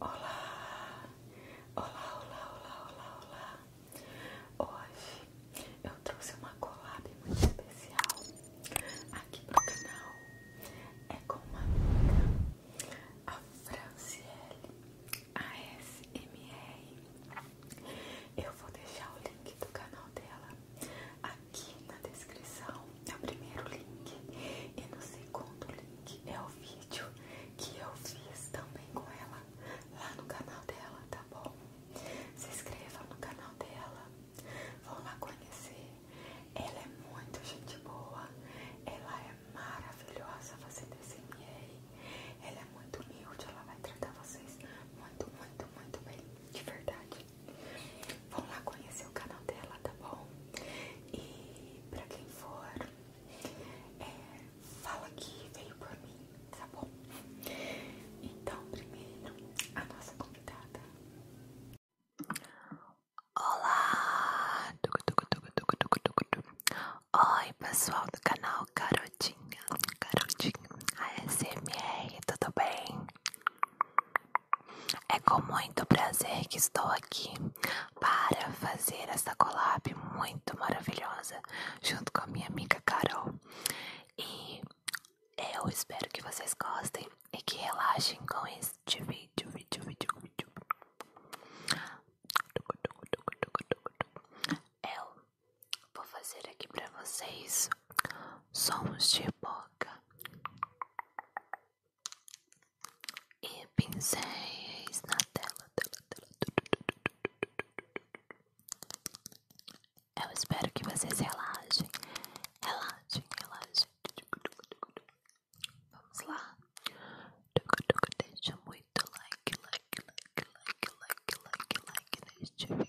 Olá, olá, olá, olá, olá, olá. Hoje eu trouxe uma collab muito especial aqui pro canal. É com uma amiga, a Franciele ASMR. Eu vou deixar o link do canal dela aqui na descrição é o primeiro link e no segundo link é o vídeo que eu fiz também com ela lá no canal dela, tá bom? Se inscreva no canal dela, vão lá conhecer. Ela é muito gente boa, ela é maravilhosa fazendo SMA, ela é muito humilde, ela vai tratar vocês muito, muito, muito bem, de verdade. Vão lá conhecer o canal dela, tá bom? E para quem for, é, fala que veio por mim, tá bom? Então, primeiro, a nossa convidada. Olá! Oi, pessoal do canal Garotinha, Garotinha ASMR, tudo bem? É com muito prazer que estou aqui para fazer essa colab muito maravilhosa junto com a minha amiga Carol. E eu espero que vocês gostem e que relaxem com este vídeo, vídeo, vídeo, vídeo. Eu vou fazer aqui para vocês sons de boca e pincéis na tela, tela, tela. Eu espero que vocês relaxem, relaxem, relaxem. Vamos lá. Deixa muito like, like, like, like, like, like, like neste vídeo.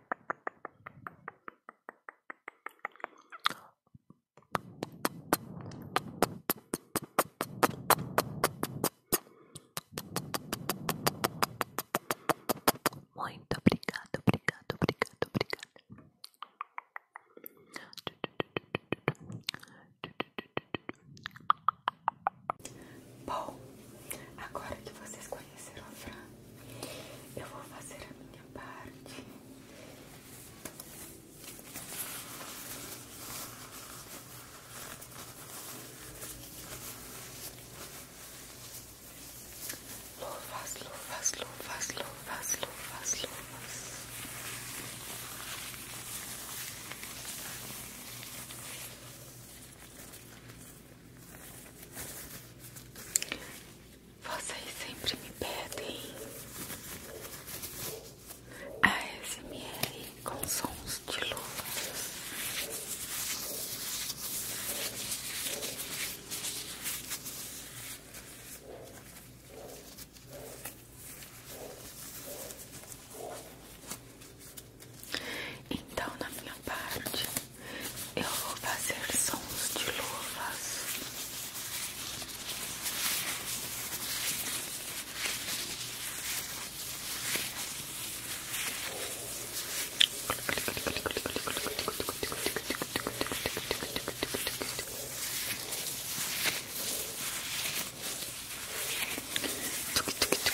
Muito obrigado, obrigado, obrigado, obrigado. Bom, agora que vocês conheceram a Fran, eu vou fazer a minha parte. Luvas, luvas, luvas, luvas, luvas, luvas. Vocês sempre me pedem a smr com sons de luvas. Então, na minha parte, eu vou fazer sons de luvas.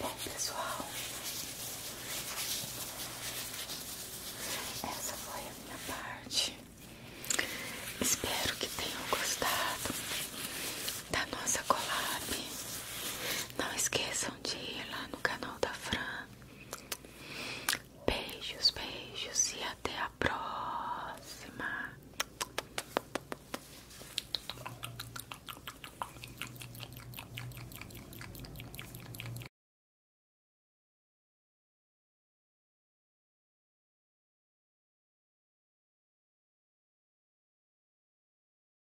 Bom, pessoal, essa foi a minha parte. Espero que tenham gostado da nossa collab. Não esqueçam esqueçam de lá no canal da Fran. Beijos, beijos e até a próxima.